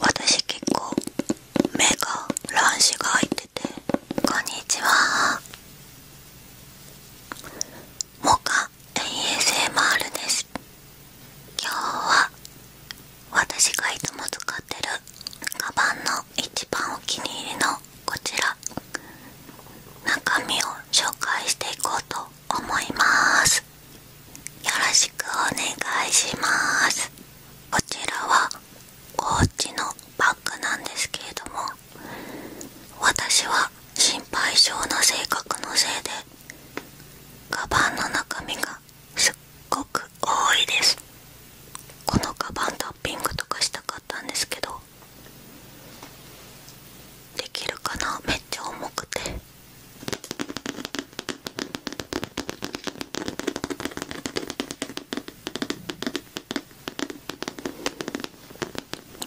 私結構目が乱視が開いててこんにちはモカ ASMR です今日は私がいつも使ってるカバンの一番お気に入りのこちら中身を紹介していこうと思いますよろしくお願いしますこちらはおーチのバッグなんですけれども私は心配性の性格のせいでカバンの中身がすっごく多いですこのカバンタッピングとかしたかったんですけどできるかなめっちゃ重くて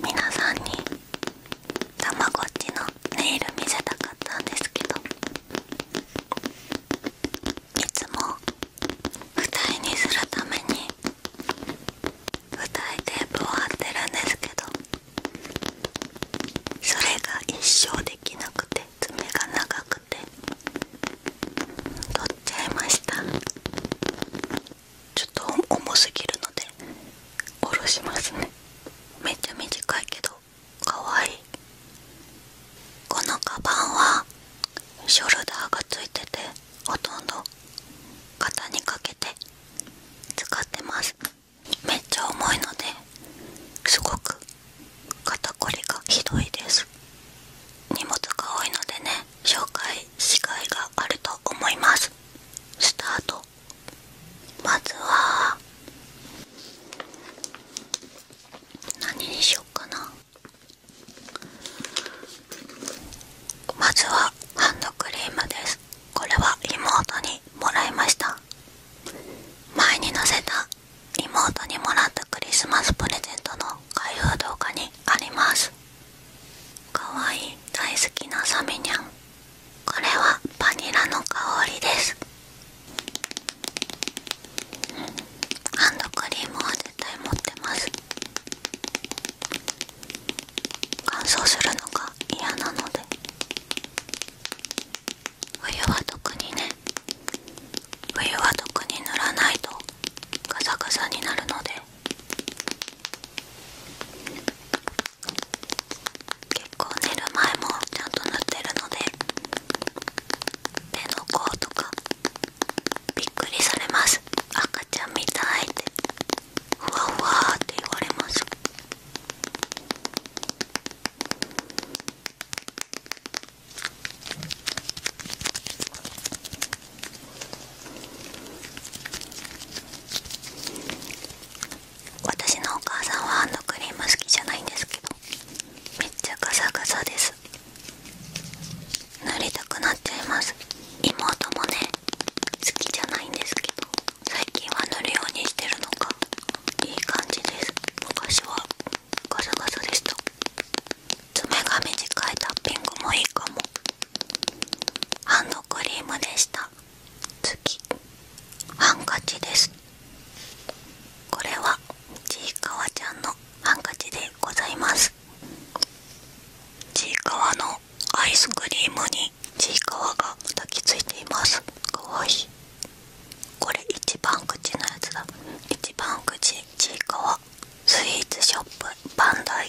皆さんにたまごっちのネイル見せたかったんですけどいつも二重にするために舞台テープを貼ってるんですけどそれが一生できなくて爪が長くて取っちゃいましたちょっと重すぎるので下ろしますねめっちゃ短いけどかわいいこのカバンはショルダーがついててほとんど型にかけて使ってますめっちゃ重いのですごく肩こりがひどいです荷物が多いのでね紹介しがいがあると思いますスタートまずは何にしようかなまずはハンドクリームですこれは妹にもらいました前に載せた妹にもらったクリスマスプレゼントの開封動画にありますかわいい大好きなサメニャンこれはバニラの香りですハンドクリームは絶対持ってます乾燥するのが嫌なので冬は特にね冬は特に塗らないとガサガサになるので結構寝る前もちゃんと塗ってるので手の甲とかびっくりされます赤ちゃんみたいっふわふわって言われます私のお母さんはハンドクリーム好きじゃないんですけどめっちゃガサガサです塗りたくなっちゃいます妹もね好きじゃないんですけど最近は塗るようにしてるのかいい感じです昔はガサガサでした爪が短いタッピングもいいかもハンドクリームでした次ハンカチですこれはちいかわちゃんのハンカチでございますちいかわのアイスクリームにちいかわがたきついていますかわいいこれ一番口のやつだ一番口ちいかわスイーツショップバンダイ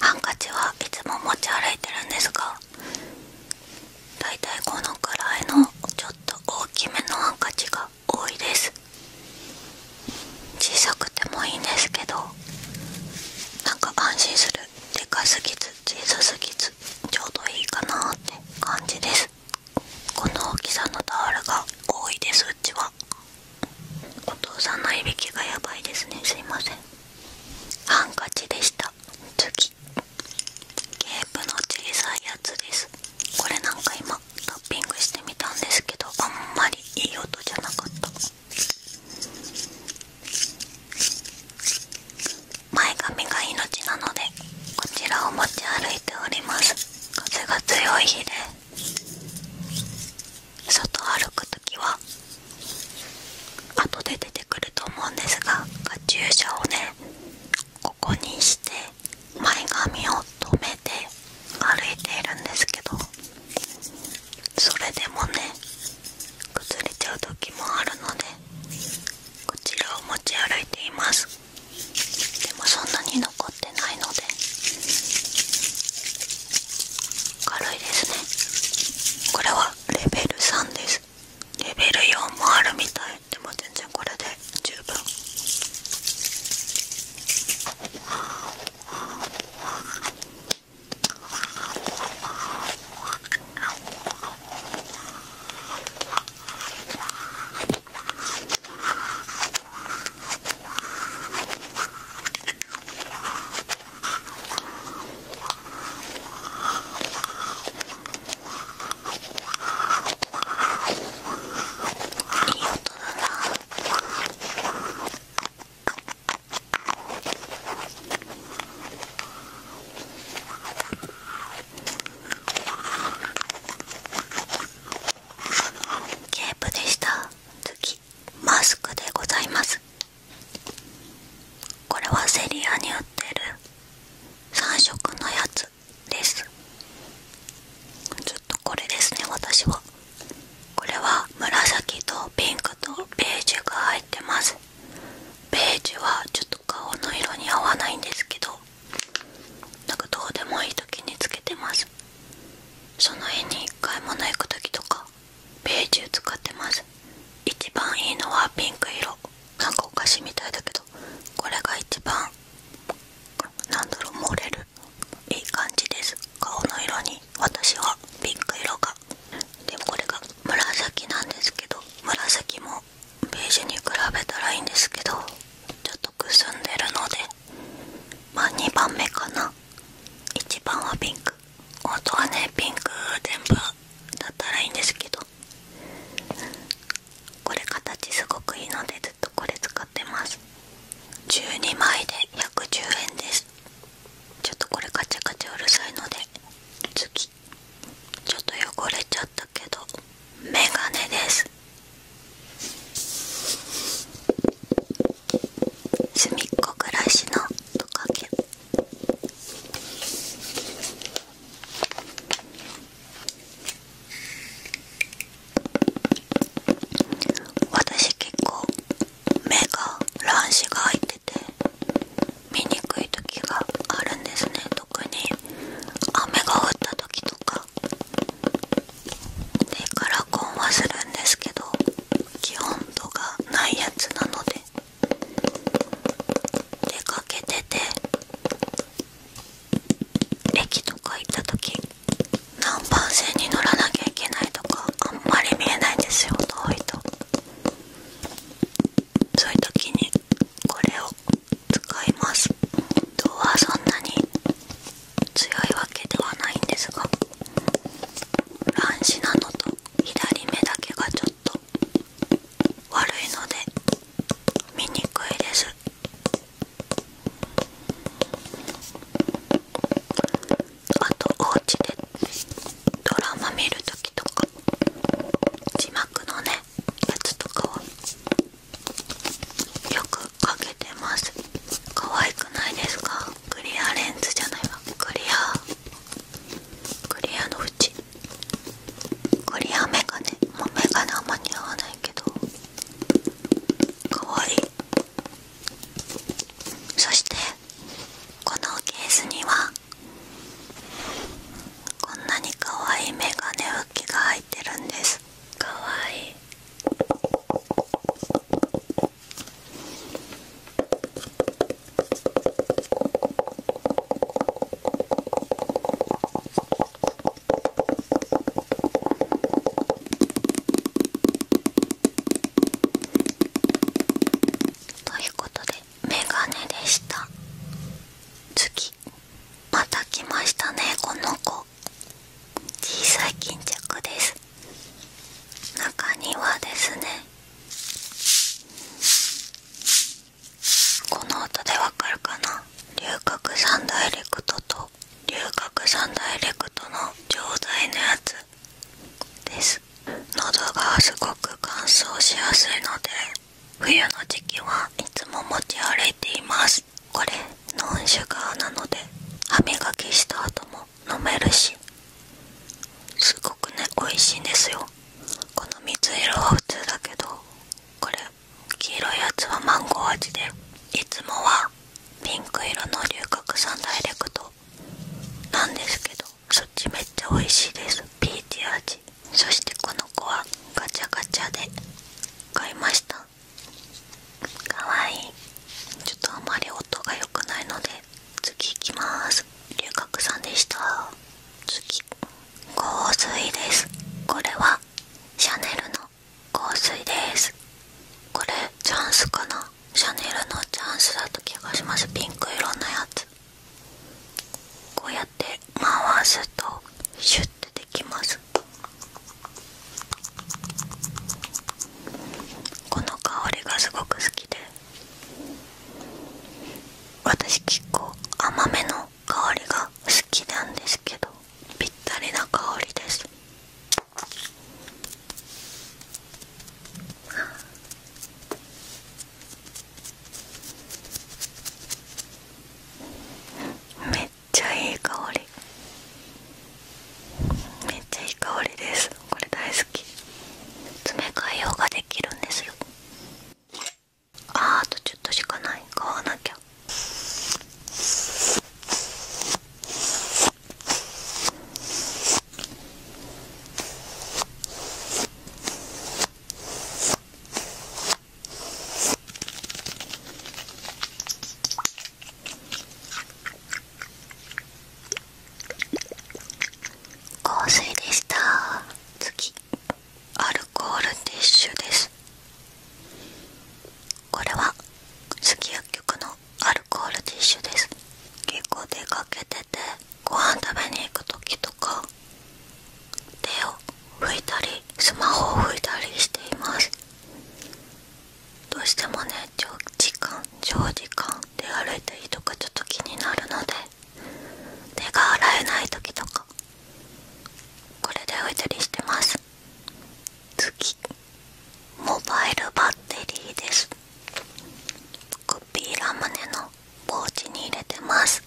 ハンカチはいつも持ち歩いてるんですがだいたいこのくらいのちょっと大きめのハンカチが多いです小さくてもいいんですけどなんか安心するでかすぎず小さすぎずちょうどいいかなって感じですこの大きさのタオルが多いですうちはお父さんのいびきがやばいですねすいませんハンカチでした次ケープの小さいやつですこれなんか今タッピングしてみたんですけどあんまりいい音じゃなかった前髪が命なのでこちらを持ち歩いております風が強い日で外歩く時は後で出てくると思うんですが注射をねここにして前髪を止めて歩いているんですけどそれでもね崩れちゃう時もあるのでこちらを持ち歩いていますでもそんなに残ってないので軽いですねこれはレベル3ですレベル4もあるみたいでも全然これで十分ゲープでした。次マスクでございますこれはセリアに売ってる3色のやつですちょっとこれですね私はこれは紫とピンクとベージュが入ってますベージュはちょっと顔の色に合わないんですけどなんかどうでもいい時につけてますその日に買い物行く時とかベージュ使ってます一番いいのはピンク色何かお菓子みたいだけどこれが一番なんだろう漏れるいい感じです顔の色に私はピンク色がでもこれが紫なんですけど紫もベージュに比べたらいいんですけどちょっとくすんでるのでまあ2番目かな1番はピンク本当はねピンク全部だったらいいんですけどこれ形すごくいいのでずっとこれ使ってます12枚で110円ですちょっとこれガチャガチャうるさいので次ちょっと汚れちゃったけどメガネですすみっこ暮らしのトカゲ私結構目が乱視が入ってて見にくい時があるんですね特に雨が降った時とかでカラコンはするんですけど基本度がないやつなので出かけてて駅とか行った時南蛮線に乗らなきゃいけないとかあんまり見えないんですよ遠いとそういう時にこれを使います今日はそんなに強いわけではないんですが乱視なのと左目だけがちょっと悪いので見にくいですあとお家でドラマ見るときとか字幕のねやつとかはよくかけてます可愛くないですかクリアレンズじゃないわクリアクリアの縁クリアメガネもうメガネあんま似合わないけどかわいいそしてこのケースにはこんなにかわいいメガネ浮きが入ってるんですかわいいということで眼鏡でした次また来ましたねこの子小さい巾着です中にはですねこの音でわかるかな龍角散ダイレクトと龍角散ダイレクトの錠剤のやつです喉がすごく乾燥しやすいので冬の時期はいつも持ち歩いていますこれノンシュガーなので歯磨きした後も飲めるしすごくね美味しいんですよこの水色は普通だけどこれ黄色いやつはマンゴー味でいつもはピンク色の龍角散ダイレクトなんですけどそっちめっちゃ美味しいですピーチ味そしてこの子はガチャガチャで買いましたかわいいちょっとあまり音が良くないので次いきます龍角さんでした次香水ですこれはシャネルの香水ですこれチャンスかなシャネルのチャンスだった気がしますピンク色のやつこうやって回すとシュッてできますこの香りがすごく好きで私結構甘めの香りが好きなんですけどぴったりな香りですめっちゃいい香りめっちゃいい香りですこれ大好き詰め替えようができるんですよああとちょっとしかない買わなきゃ香水でした次アルコールティッシュですこれはすき薬局のアルコールティッシュです結構出かけててご飯食べに行く時とか手を拭いたりスマホを拭いたりしていますどうしてもね長時間長時間で歩いたりとかちょっと気になるので手が洗えない時とかこれで置いたりしてます次モバイルバッテリーですコピーラムネのポーチに入れてます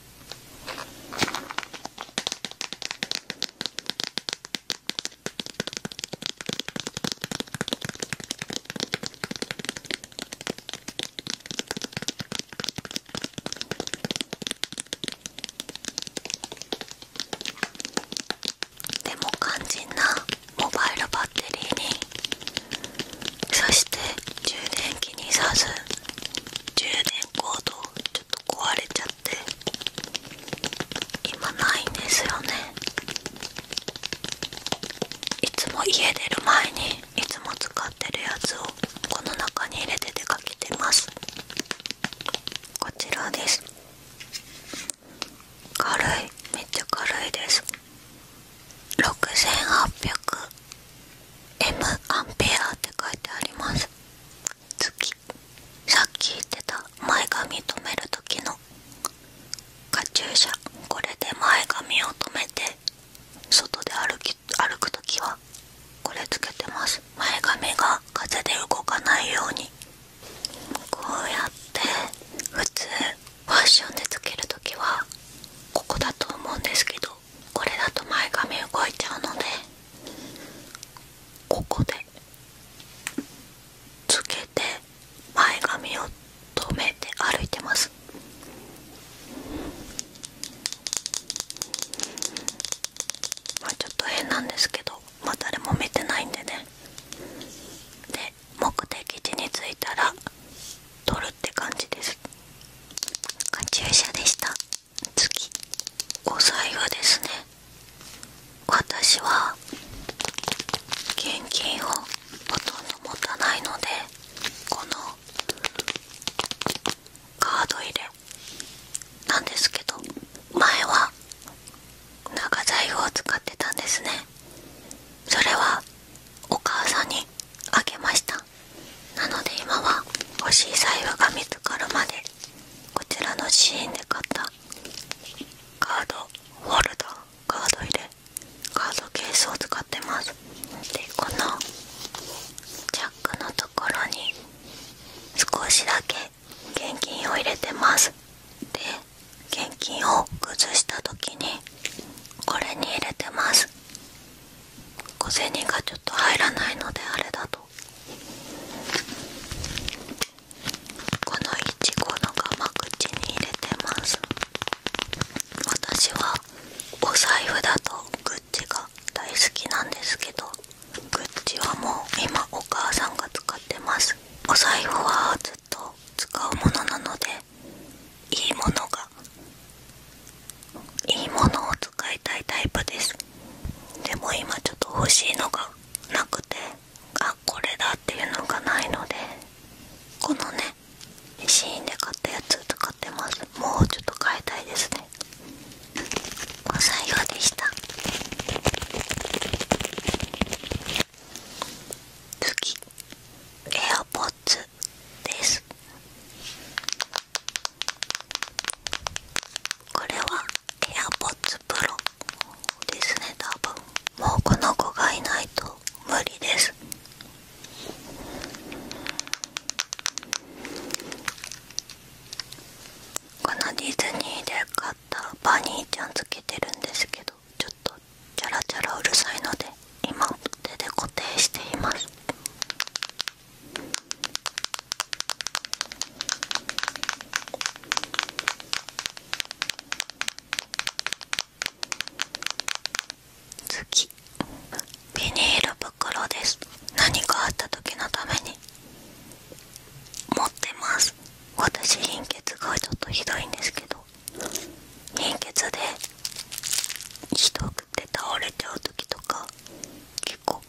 でも肝心なモバイルバッテリーにそして充電器にさず充電コードちょっと壊れちゃって今ないんですよねいつも家出る前にいつも使ってるやつをこの中に入れて出かけてますこちらです軽いめっちゃ軽いです 6800mA って書いてあります月さっき言ってた前髪止める時のカチューシャこれで前髪を止めて外で歩き歩く時はこれつけてます前髪が風で動かないようにこうやって普通ファッションでつける時はここだと思うんですけどこれだと前髪動いちゃうのでここでつけて前髪を止めて歩いてますまちょっと変なんですけどま誰も見てないんでねで目的地に着いたら撮るって感じですカチューシャでした次5歳布ですね私は現金をほとんど持たないのでこのカード入れなんですけど前は長財布を使ってたんですねそれはお母さんにあげましたなので今は欲しい財布が見つかるまでこちらのシーンで買ったカードフォルダカード入れカードケースを使ってますでこのジャックのところに少しだけ現金を入れてますで現金を崩した時にこれに入れてます小銭がちょっと入らないのであれだとこのいちごのが口に入れてます私はお財布だとグッチが大好きなんですけどグッチはもう今お母さんが使ってますお財布はずっと使うものなのでいいものがいいものを使いたいタイプですでも今ちょっと欲しいのがなくてあこれだっていうのがないのでこのねシーンで買ったやつ使ってますもうちょっと買いたいですねお財布でした次エアポッツ。ですこれは AirPods ですね多分もうこの子がいないと無理ですこのディズニーで買ったバニーちゃんつけてるんですけどちょっとチャラチャラうるさいので今手で固定しています次ビニール袋です何かあった時のために持ってます私貧血がちょっとひどいんですけど貧血でひどくて倒れちゃう時とか結構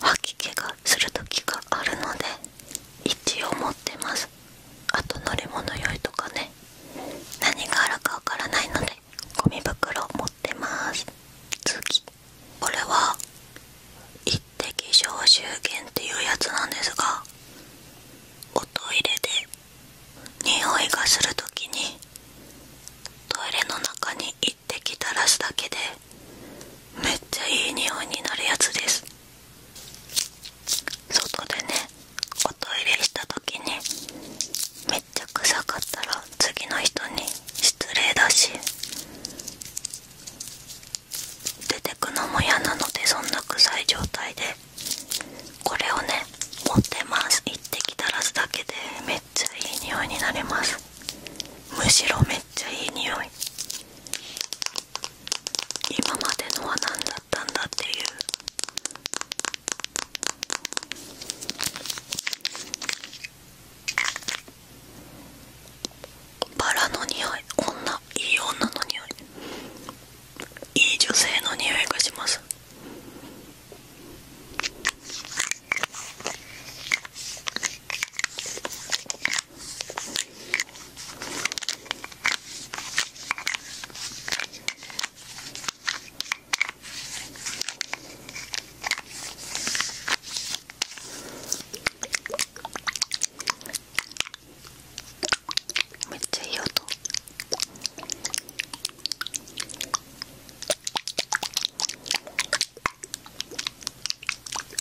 吐き気がする時があるので一応持ってますあと乗り物酔いとかね何があるかわからないのでゴミ袋を持ってます次これは一滴消臭源っていうやつなんですがおトイレで匂いがする時にトイレの中に一滴垂らすだけでめっちゃいい匂いになるやつです外でねおトイレした時にめっちゃ臭かったら次の人に失礼だし出てくのも嫌なのでそんな臭い状態でこれをね持ってます一滴垂らすだけでめっちゃいい匂いになりますむしろめっちゃいい匂い今までのは何だったんだっていうバラの匂いこんないい女の匂いいい女性の匂いがしますめっちゃいい音。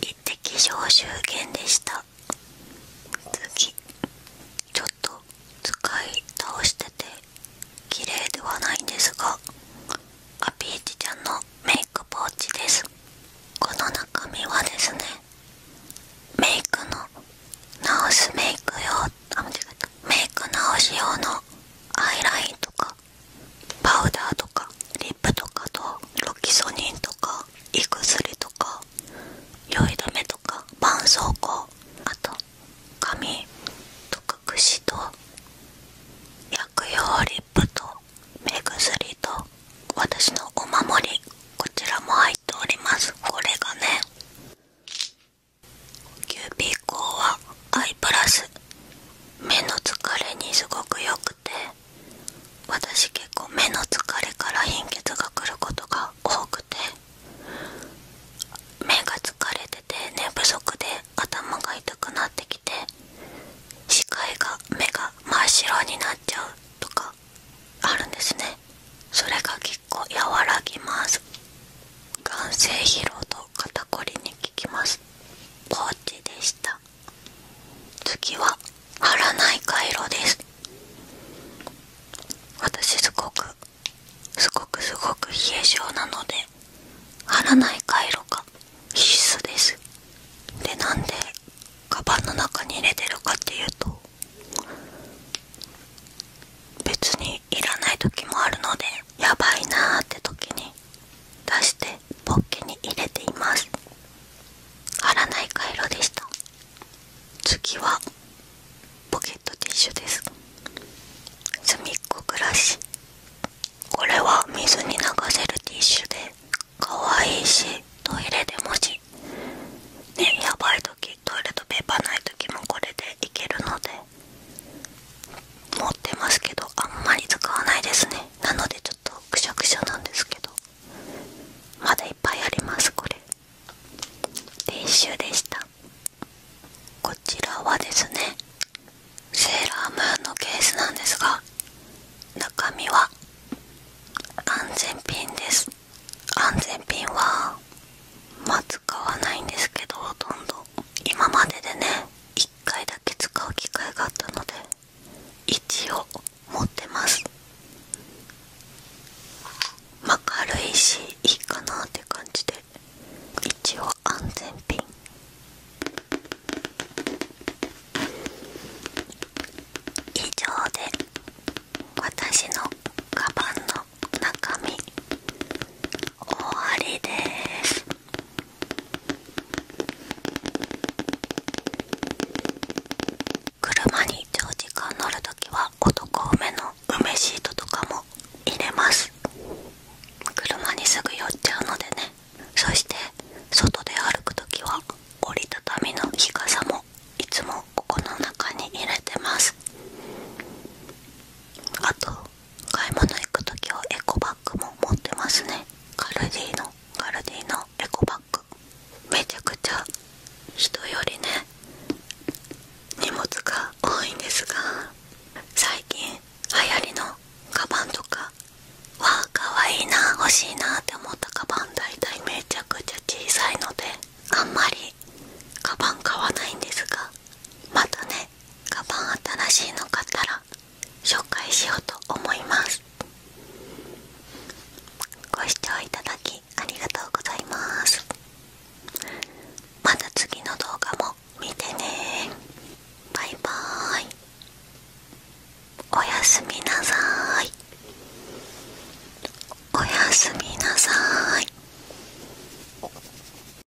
一滴消臭源でした次ちょっと使い倒してて綺麗ではないんですがアピーチちゃんのメイクポーチですこの中身はですねメイクの直すメイク用あ間違えたメイク直し用のアイラインとかパウダーとかリップとかとロキソニンとか胃薬とか酔い止めとか絆創膏あと紙とか櫛と薬用リップと目薬と私のお守りこちらも入っておりますこれがねキューピーコーはアイプラス目の疲れにすごく良くて私結構目の疲れから貧血が来ることが多くて目が疲れてて寝不足で頭が痛くなってきて視界が目が真っ白になっちゃうとかあるんですねそれが結構和らぎます眼性疲労と肩こりに効きますポーチでした次は貼らない回路です私すごくすごくすごく冷え性なので貼らない回路が必須ですでなんでカバンの中に入れてるかっていうと別にいらない時もあるのでやばいなって時に出してポッケに入れています貼らない回路でした次はポケットティッシュです隅っこ暮らしこれは水に流せるティッシュでかわいいしトイレでもしねやばい時トイレとペーパーない時もこれでいけるので持ってますけどあんまり使わないですねなのでちょっとくしゃくしゃなんですけどまだいっぱいありますこれィッシュでしたこちらはですねセーラームーンのケースなんですが中身は安全ピンです安全ピンはマッ使わないんですけどほんど今まででね1回だけ使う機会があったので一応持ってますまあ軽いしいいかなって感じで一応安全ピン以上で私のカバンの中身終わりです車に長時間乗る時は男梅の梅シートとかも入れます車にすぐ寄っちゃうのでねそして外で歩く時は折りたたみの日傘もいつもここの中に入れてますあと買い物行く時はエコバッグも持ってますねカルディのカルディのエコバッグめちゃくちゃ人よりね荷物が多いんですが最近流行りのカバンとかわあかわいいな欲しいなって思ったカバン大体めちゃくちゃ小さいのであんまりカバン買わないんですがまたねカバン新しいの買ったら紹介しようと思いますご視聴いただきありがとうございますまた次の動画も見てねバイバーイおやすみなさいおやすみなさい